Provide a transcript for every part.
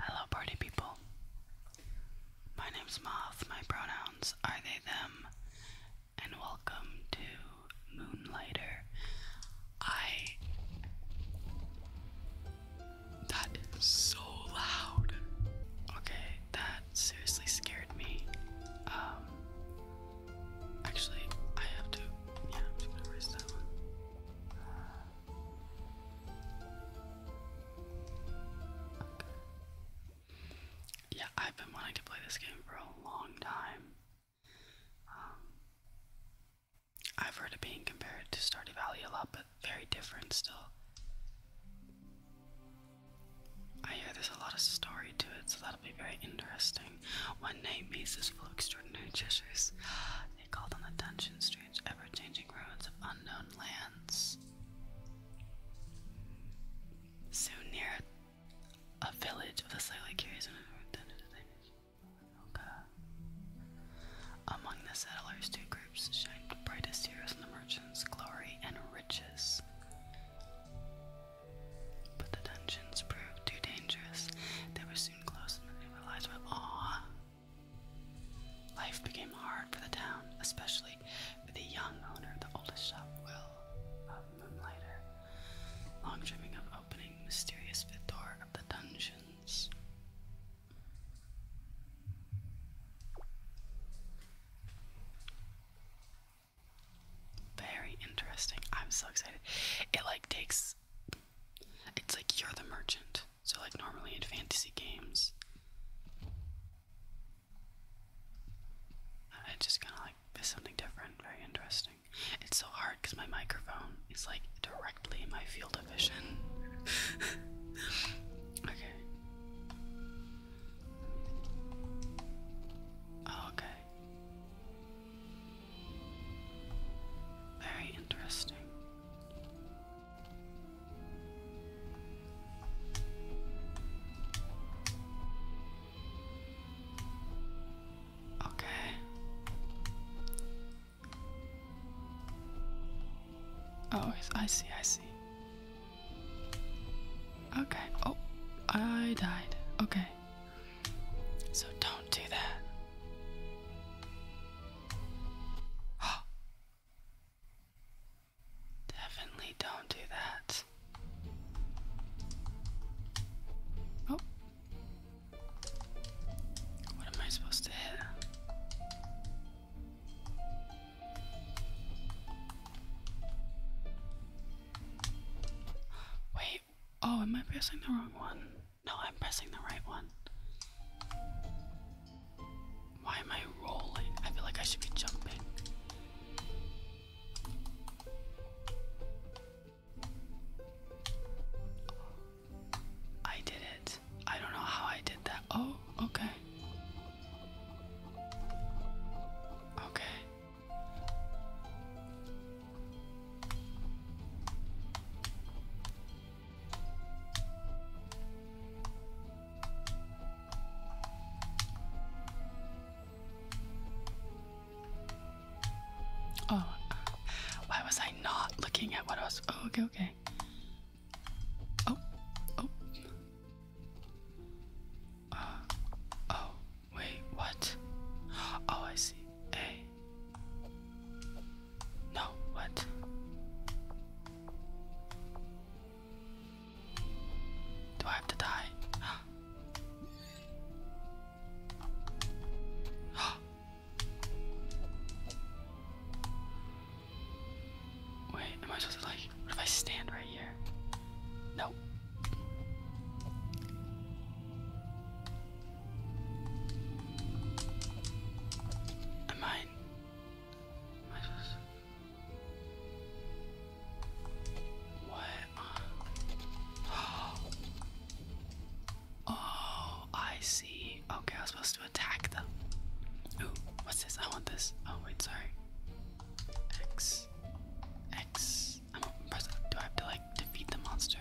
Hello, party people. My name's Moth. My pronouns are they, them, and welcome to Moonlighter. I. That is so loud. Okay, that seriously scared me. Um. Actually, I have to. Yeah, I'm gonna erase that one. Yeah, I've been wanting to play this game for a long time. Um, I've heard it being compared to Stardew Valley a lot, but very different still. I hear there's a lot of story to it, so that'll be very interesting. One night, mazes full of extraordinary treasures. They called on the dungeons, strange, ever changing ruins of unknown lands. Soon, near a village of the slightly curious and among the settlers, two groups shined brightest heroes in the merchants' glory and riches. But the dungeons proved too dangerous. They were Life became hard for the town, especially for the young owner, the oldest shop will of Long dreaming of opening mysterious door of the dungeons. Very interesting. I'm so excited. It like takes it's like you're the merchant. So, like normally in fantasy games, I just kind of like there's something different, very interesting. It's so hard because my microphone is like directly in my field of vision. okay. Oh, okay. Very interesting. Okay. Oh, I see, I see. Okay. Oh, I died. Okay. So don't do that. Oh. Definitely don't do that. Oh. What am I supposed to hit? Wait, Oh, am I pressing the wrong one? No, I'm pressing the right one. Why am I rolling? I feel like I should be jumping. I did it. I don't know how I did that. Oh, okay. Okay. Oh, why was I not looking at what I was? Oh, okay, okay. Oh, oh. Uh, oh, Wait, what? Oh, I see. A. No, what? Do I have to die? Wait, am I supposed to like, what if I stand right here? No. Am I? Am I What? Oh. I see. Okay, I was supposed to attack them. Ooh, what's this? I want this. Oh wait, sorry. X, X i do I have to like defeat the monster?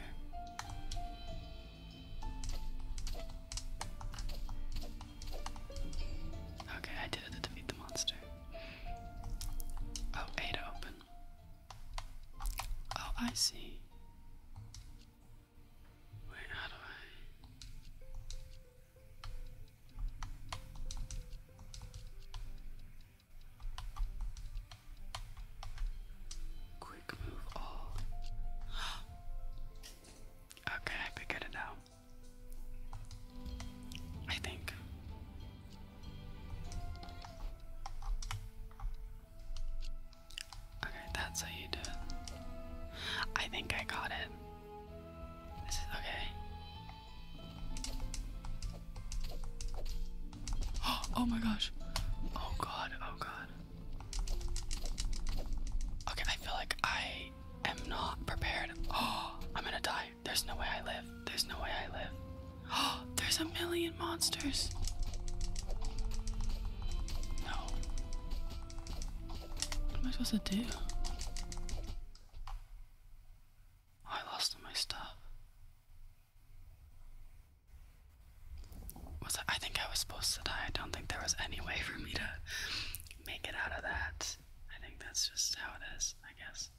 Okay, I did it to defeat the monster. Oh, A to open. Oh, I see. Wait, how do I? Quick move all. okay, I think I did I think. Okay, that's how you do it. I think I got it. okay. oh my gosh. Oh god, oh god. Okay, I feel like I am not prepared. Oh, I'm gonna die. There's no way I live. There's no way I live. Oh, there's a million monsters. No. What am I supposed to do? Oh, I lost all my stuff. Was I, think I was supposed to die. I don't think there was any way for me to make it out of that. I think that's just how it is, I guess.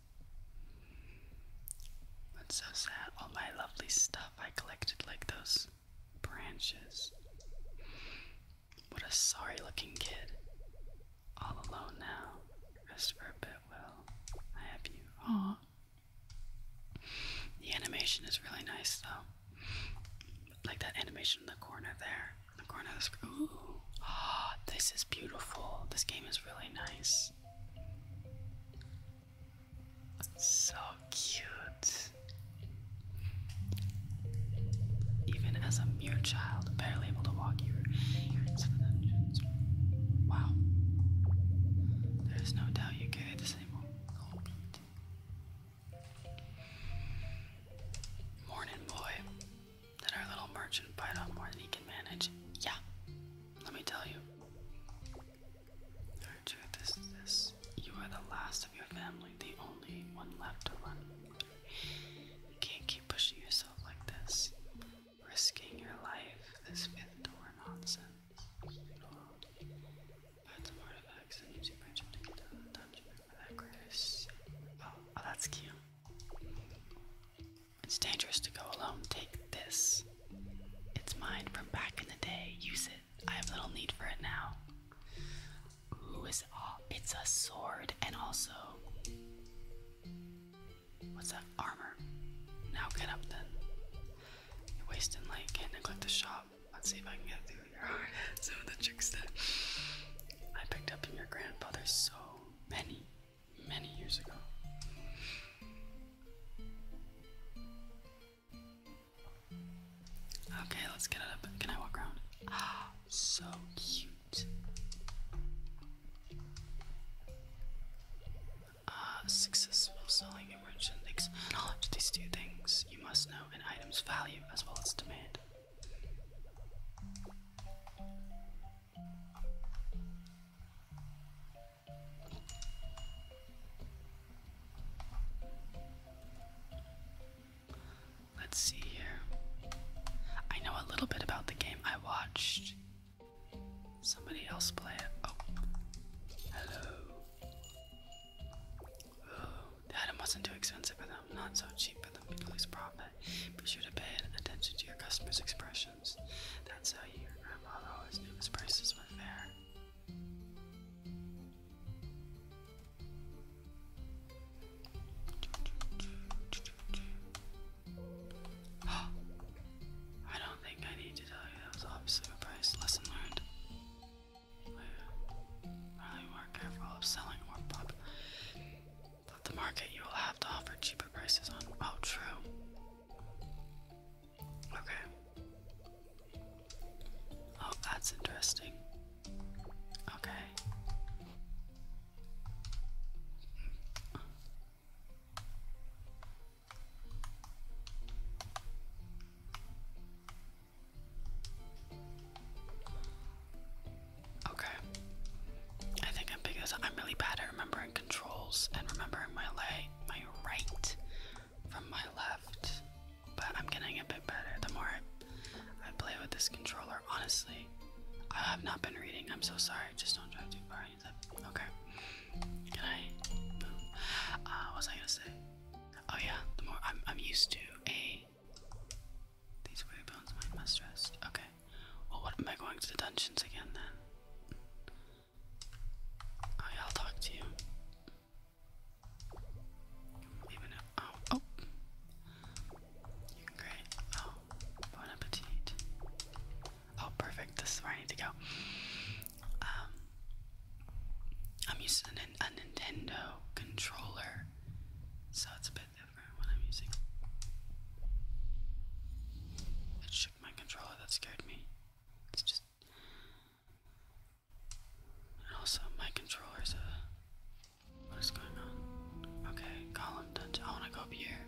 That's so sad. All my lovely stuff I collected, like those branches. What a sorry looking kid. All alone now. Rest for a bit, Will. I have you. Aw, the animation is really nice though. Like that animation in the corner there. In the corner of the screen. Ooh. Ah, this is beautiful. This game is really nice. So cute. Even as a mere child, barely able to walk, you were wow. There's no doubt you carry the same old Morning, boy. Did our little merchant bite off more than he can manage? Yeah. Let me tell you. Our truth is this. You are the last of your family, the only one left to run. You can't keep pushing yourself like this risking your life, this fifth door nonsense. that's some artifacts and use your magic to get to the dungeon. Oh, oh, that's cute. It's dangerous to go alone. Take this. It's mine from back in the day. Use it. I have little need for it now. Ooh, it's a sword and also What's that? Armor. Now get up then. You're wasting light, can't neglect the shop. Let's see if I can get through here. Some of the tricks that I picked up from your grandfather so many, many years ago. Okay, let's get up. Can I walk around? Ah, so cute uh, successful selling and merchant takes knowledge. These two things you must know an item's value as well as demand. Let's see here. I know a little bit about the game. I watched Somebody else play it. Oh. Hello. Oh, the item wasn't too expensive for them, not so cheap for them to profit. Be sure to pay attention to your customers' expressions. That's how your grandfather always knew his prices were fair. I don't think I need to tell you that was absolute price. Lesson learned. We more careful of selling or pop. But the market you will have to offer cheaper prices on. Oh, true. Okay. Oh, that's interesting. Okay. Okay. I think I'm I'm really bad at remembering controls and remembering my lay my right from my left. But I'm getting a bit better the more I, I play with this controller. Honestly, I have not been reading. I'm so sorry. Just don't drive too far. I Okay. Can I? Uh, what was I gonna say? Oh yeah, the more I'm, I'm used to a. These weary bones might must rest. Okay. Well, what am I going to the dungeons again then? Oh I'll talk to you. oh, oh. Great. Oh, Bon appetit. Oh, perfect. This is where I need to go. Um, I'm using a, Nintendo controller, so it's a bit different what I'm using. It shook my controller. That scared me. It's just. And also, my controller is a. What is going on? Okay, column I want to go up here.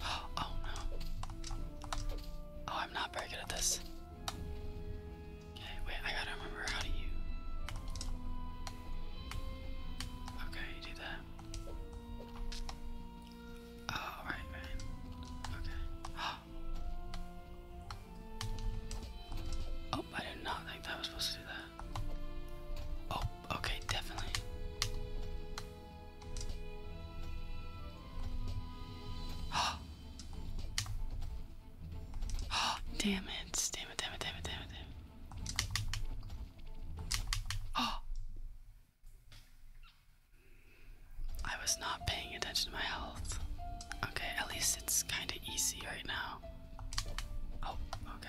Oh no. Oh, I'm not very good at this. Okay, wait, I gotta remember how to you. Okay, do that. Oh, right, Okay. Oh. Oh, I did not think that was supposed to do that. Oh, okay, definitely. Oh. oh, Damn it, damn it, damn it, damn it, damn it. Oh. I was not paying attention to my health. Okay, at least it's kind of easy right now. Oh, okay.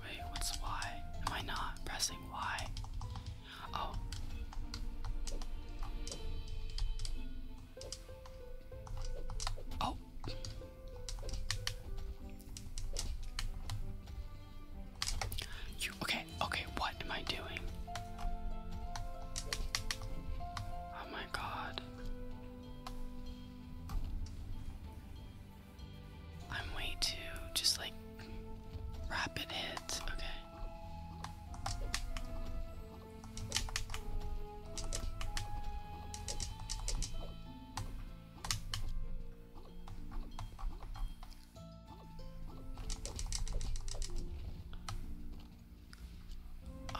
Wait, what's Y? Am I not pressing Y? Oh. Oh. You okay? Okay, what am I doing? Oh my god. I'm way too just like rapid hits. Okay.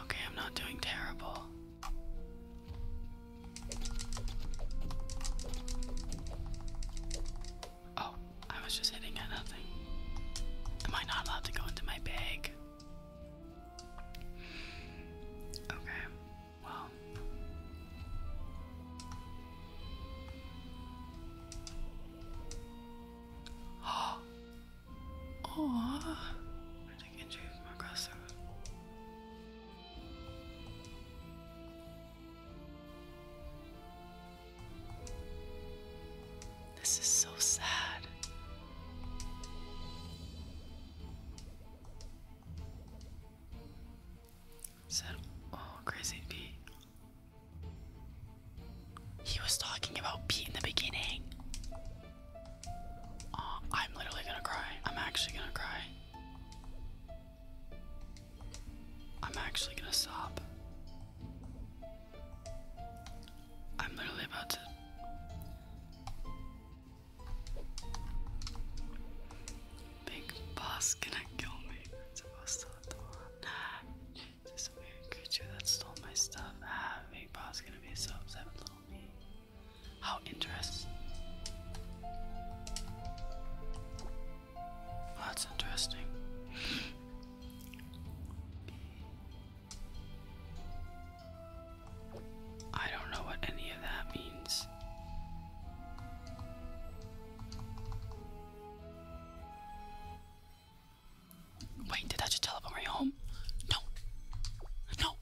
Okay, I'm not doing terrible. Oh, I was just hitting at nothing. Am I not allowed to go into my bag? Okay, well. Oh. Aw. I'm taking injuries across the road. This is so sad. Said, oh, crazy bee. He was talking about Pete in the beginning. Uh, I'm literally gonna cry. I'm actually gonna cry. I'm actually gonna sob. I'm literally about to. Big boss gonna kill me. This weird creature that stole my stuff. Ah, Big Boss gonna be so upset with little me. How interesting. that's interesting. I don't know what any of that means. Wait, did I just teleport me home? No. No.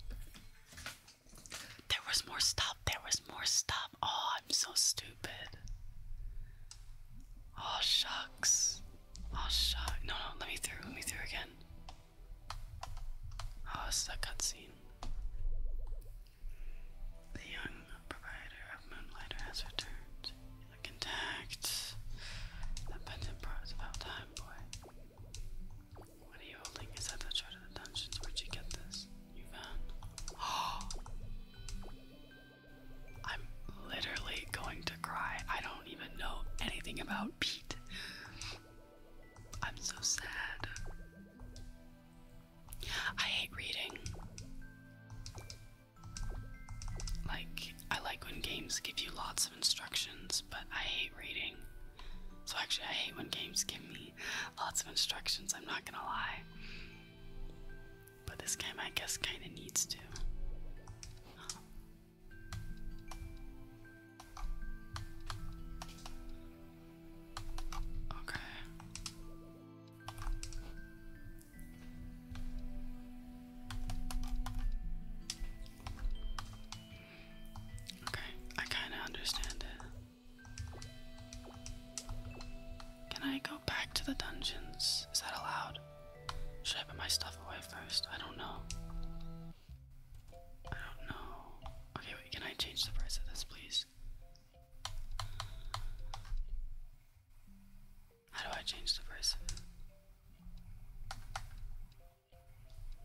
There was more stuff. There was more stuff. Oh, I'm so stupid. Oh, shucks. Oh, shucks. No, no, let me through. Let me through again. Oh, this is a cutscene. The young proprietor of Moonlighter has returned. I contact. That pendant part about time, boy. What are you holding? Is that the chart of the dungeons? Where'd you get this? You found. Oh! I'm literally going to cry. I don't even know anything about Pete. I'm so sad. I hate reading. Like, I like when games give you lots of instructions, but I hate reading. So, actually, I hate when games give me lots of instructions, I'm not gonna lie. But this game, I guess, kinda needs to. Okay. Okay, I kind of understand it. Can I go back to the dungeons? Is that allowed? Should I put my stuff away first? I don't know. I don't know. Okay, wait, can I change the price of this, please? How do I change the price?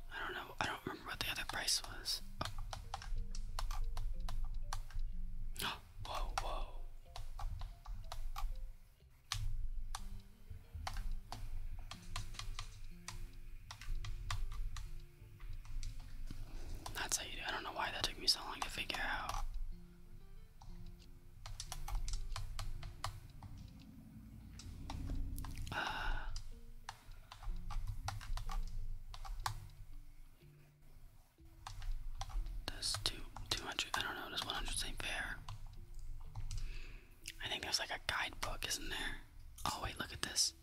I don't know. I don't remember what the other price was. whoa, whoa. That's how you do. I don't know why that took me so long to figure out. Uh, does two two hundred? I don't know. Does one hundred seem fair? I think there's like a guidebook, isn't there? Oh wait, look at this.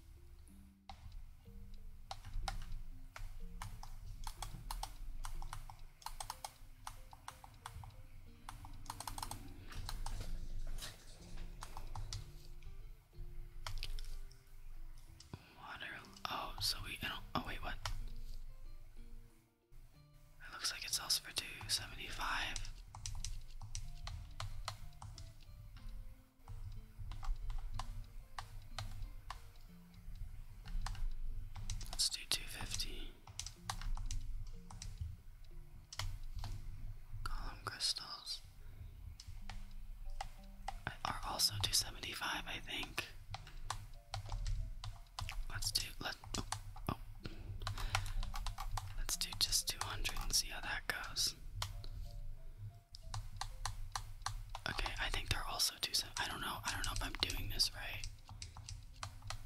Water. Oh, so we. oh, wait, what? It looks like it sells for 275. Let's do 250. Column crystals are also 275, I think. Let's do let oh, oh. let's do just 200 and see how that goes. Okay, I think they're also. I don't know. I don't know if I'm doing this right.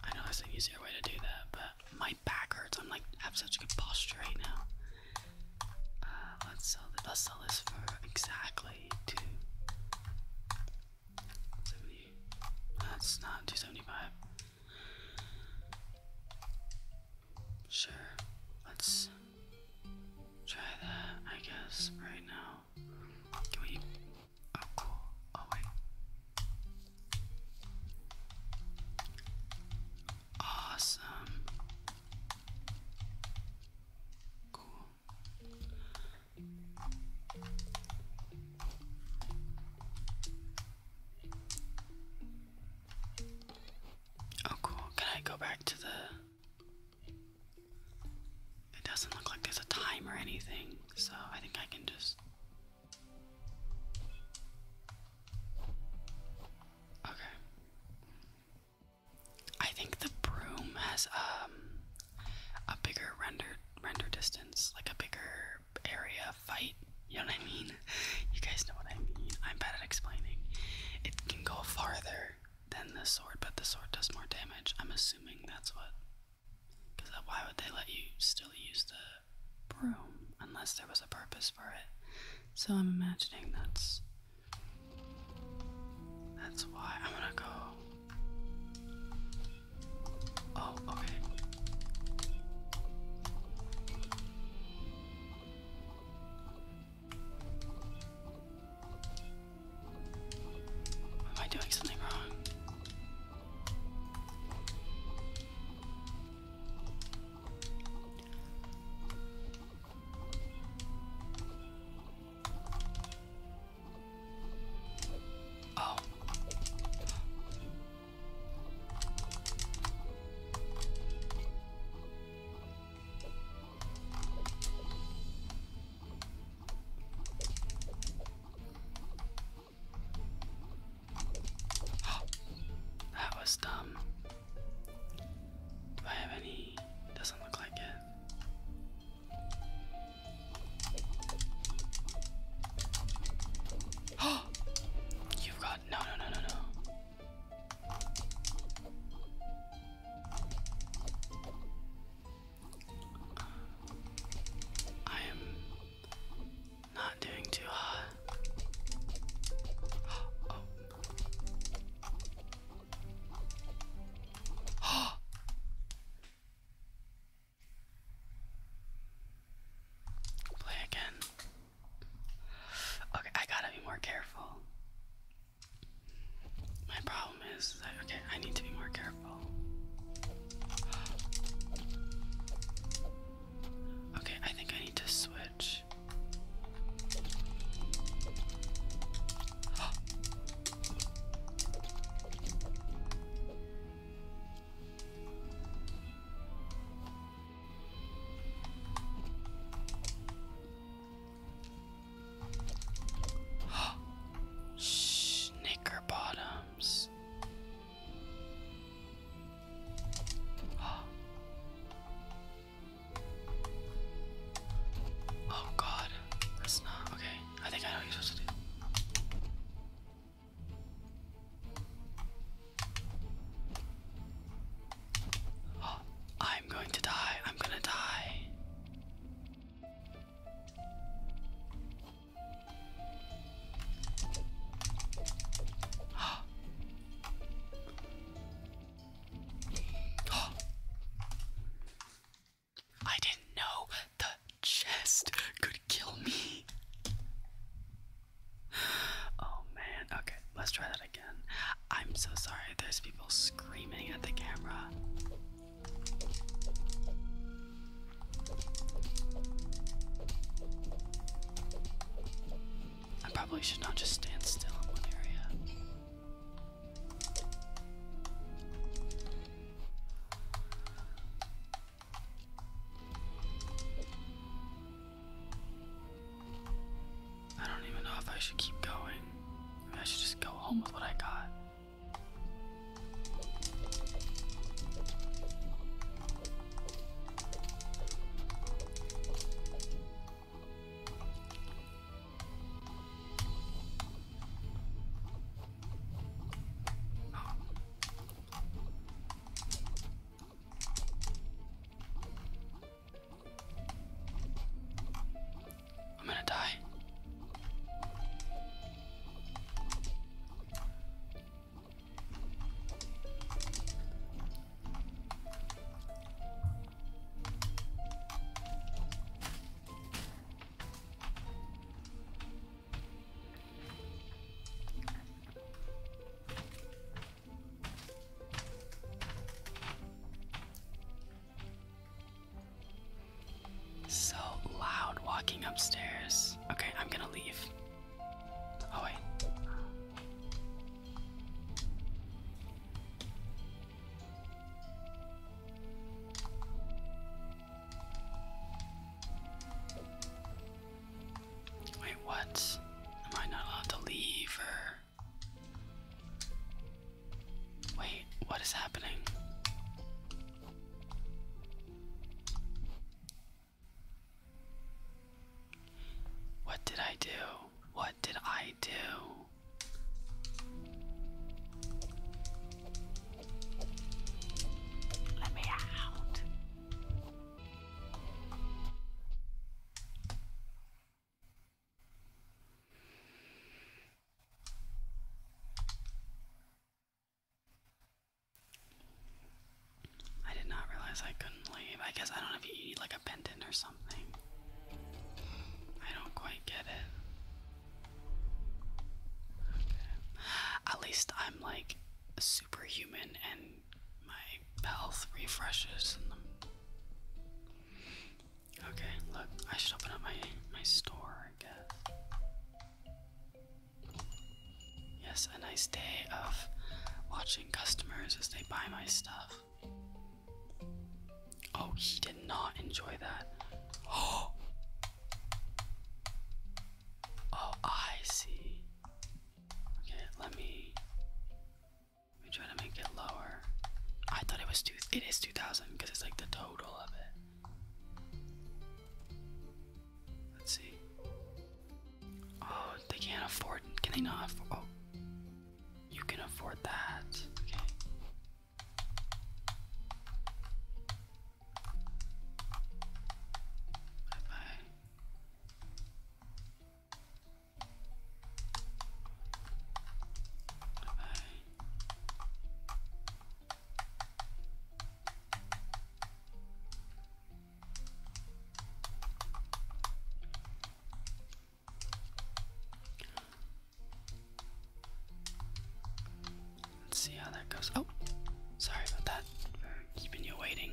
I know there's an easier way to do that, but my back hurts. I'm like have such a good posture right now. Uh, let's sell this. Let's sell this for exactly two seventy. That's not two seventy five. Sure. Let's try that. I guess right now. Oh, cool. Oh, wait. Awesome. Cool. Oh, cool. Can I go back to the it doesn't look like there's a time or anything, so I think I can just. Okay. I think the broom has um a bigger render render distance, like a bigger area fight. You know what I mean? You guys know what I mean. I'm bad at explaining. It can go farther than this sword, but the sword does more damage. I'm assuming that's what. Because why would they let you still use the broom unless there was a purpose for it? So I'm imagining that's. That's why I'm gonna go. Oh, okay. Am I doing something wrong? Oh. that was dumb. Do I have any? Doesn't look like it. Oh, you've got no, no, no, no, no. I am not doing too hot. Oh. Play again. Okay, I gotta be more careful. My problem is that, okay, I need to be more careful. Okay, I think I need to switch. Snicker bottoms. Oh god, that's not okay. I think I know what you're supposed to I'm going to die. I'm gonna die. I didn't know the chest could kill me. Oh man, okay, let's try that again. I'm so sorry, there's people screaming at the camera. I probably should not just stand still in one area. I don't even know if I should keep going. I should just go home with what I got. I'm gonna die. So loud walking upstairs. Okay, I'm gonna leave. Oh, wait. Wait, what? Am I not allowed to leave or. Wait, what is happening? What did I do? What did I do? Let me out. I did not realize I couldn't leave. I guess I don't know if you need like a pendant or something. I don't quite get it. At least I'm like superhuman and my health refreshes Okay, look, I should open up my my store, I guess. Yes, a nice day of watching customers as they buy my stuff. Oh, he did not enjoy that. Oh. Oh, I see. Okay, let me let try to make it lower. I thought it was two. It is two thousand because it's like the total of it. Let's see. Oh, they can't afford. Can they not afford? Oh, you can afford that. Okay. Bye bye. Let's see how that goes. Oh, sorry about that keeping you waiting.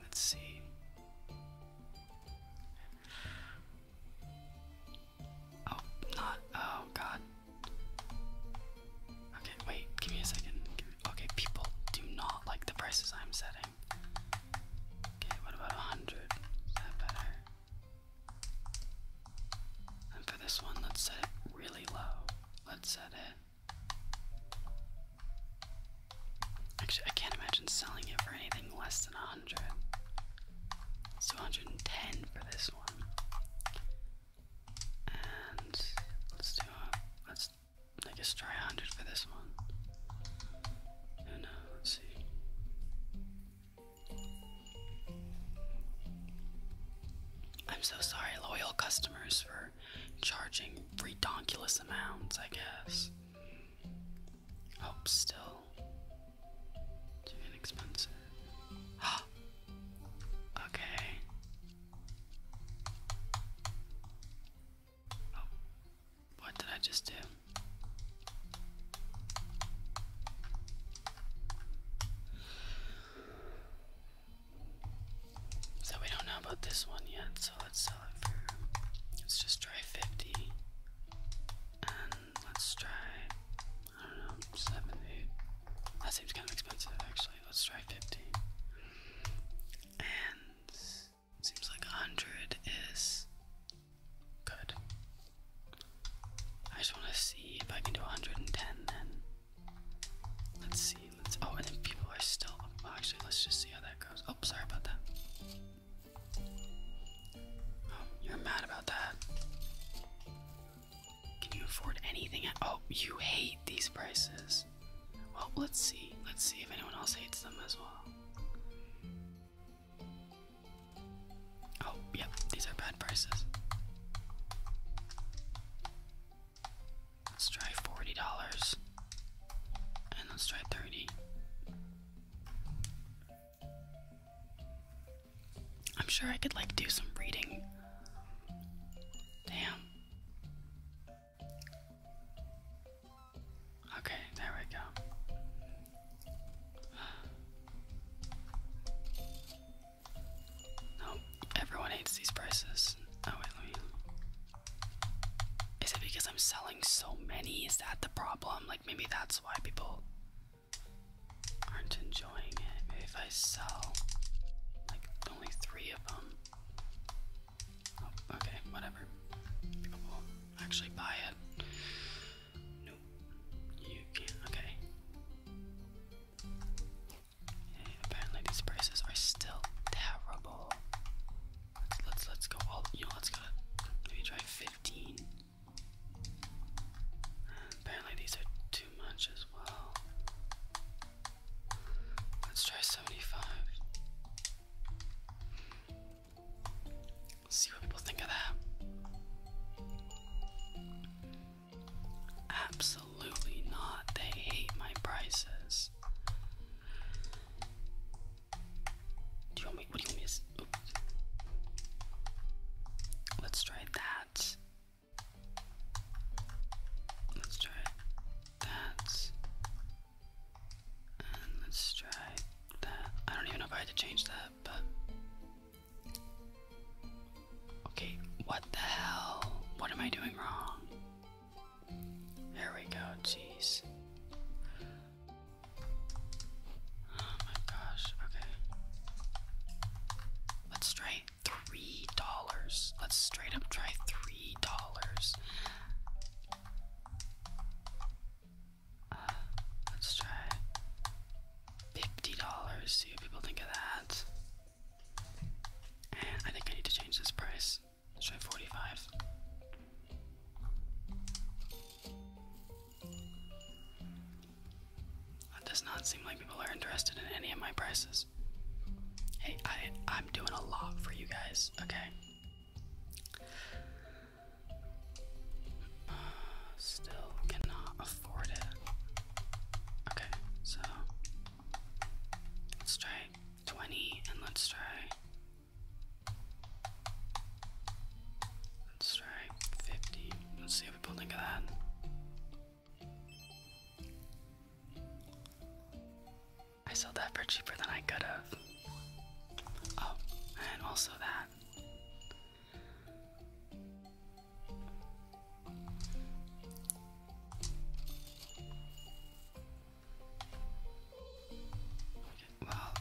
Let's see. Oh, not. Oh, God. Okay, wait. Give me a second. okay, people do not like the prices I'm setting. Okay, what about 100? Is that better? And for this one, let's set it really low. Let's set it Actually, I can't imagine selling it for anything less than a hundred. It's 210 for this one. And let's do a, let's I guess try a hundred for this one. Oh no, let's see. I'm so sorry, loyal customers, for charging ridiculous amounts, I guess. Hope still. Too inexpensive. okay. Oh, what did I just do? So we don't know about this one yet, so let Let's just try 50. And let's try, I don't know, 70. That seems kind of expensive actually. Let's try 50. And seems like 100 is good. I just want to see if I can do 110 then. Let's see oh, and then people are still, actually, let's just see how that goes. Oh, sorry about that. Oh, you're mad about that. Can you afford anything? Oh, you hate these prices. Well, let's see. Let's see if anyone else hates them as well. Oh, yep, these are bad prices. Let's try forty dollars. And let's try thirty. I'm sure I could like do some reading. Damn. Okay, there we go. Nope, everyone hates these prices. Oh wait, let is it because I'm selling so many? Is that the problem? Like, maybe that's why people aren't enjoying it. Maybe if I sell like only three of them. Oh, okay, whatever. People will actually buy it. Nope. You can't. Okay. apparently, these prices are still terrible. Let's let's go all you know, let's go maybe try fifteen. Apparently these are too much as well. Let's try seventy-five. Let's see what people think of that. Absolutely not. They hate my prices. Do you want me? What do you want Let's try that. Let's try that. And let's try that. I don't even know if I had to change that, but. Okay, what the hell? What am I doing wrong? There we go, jeez. Oh my gosh, okay. Let's try three dollars. Let's straight up try three dollars. Uh, let's try fifty dollars. See what people think of that. I think I need to change this price let 45. It does not seem like people are interested in any of my prices. Hey, I, I'm doing a lot for you guys, okay? Uh, still cannot afford it. Okay, so let 20 and let's try let's try 50 let's see if we both think of that I sold that for cheaper than I could have oh and also that well,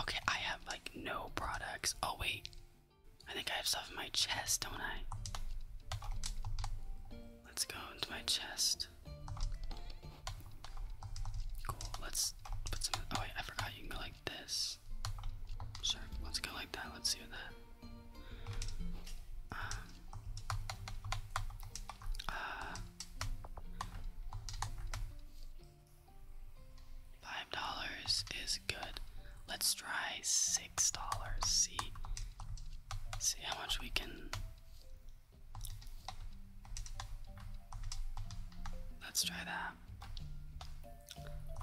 okay, I have like no products. Oh wait, I think I have stuff in my chest, don't I? Let's go into my chest. Cool. Let's put some. Oh wait, I forgot you can go like this. Sure. Let's go like that. Let's see that. Um, Five dollars is good. Let's try six dollars. See, see how much we can. Let's try that.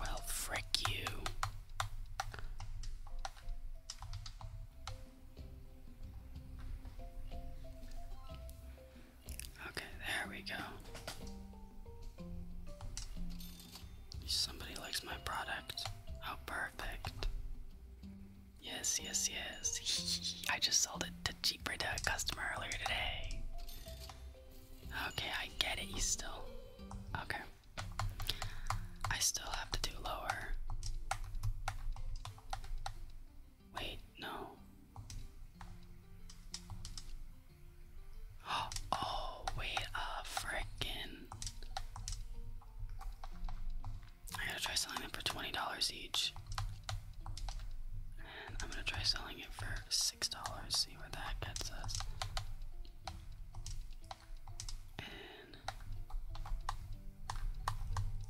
Well, frick you. Okay, there we go. Somebody likes my product. How oh, perfect. Yes, yes, yes. I just sold it to cheaper to a customer earlier today. Okay, I get it. You still. Okay. I still have to do lower. Wait, no. Oh, wait a uh, frickin'. I gotta try selling it for $20 each. And I'm gonna try selling it for $6, see where that gets us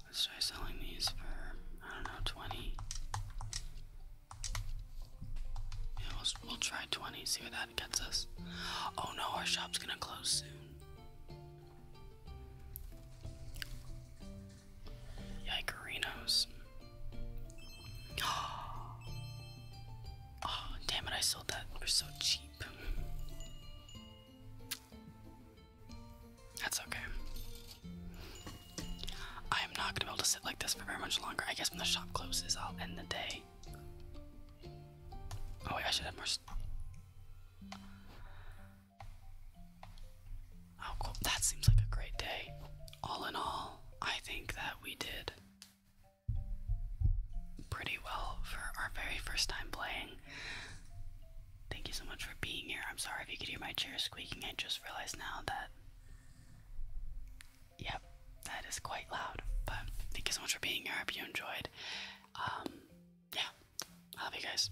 let's try selling these for, I don't know, 20. Yeah, we'll, try 20, see where that gets us. Oh no, our shop's gonna close soon. Yikerinos. Oh, damn it, I sold that. they so cheap. That's okay. I am not gonna be able to sit like this for very much longer. I guess when the shop closes, I'll end the day. Oh wait, I should have more. Oh that seems like a great day. All in all, I think that we did pretty well for our very first time playing. Thank you so much for being here. I'm sorry if you could hear my chair squeaking. I just realized now that. Yep, that is quite loud. But thank you so much for being here. I hope you enjoyed. Um, yeah, I love you guys.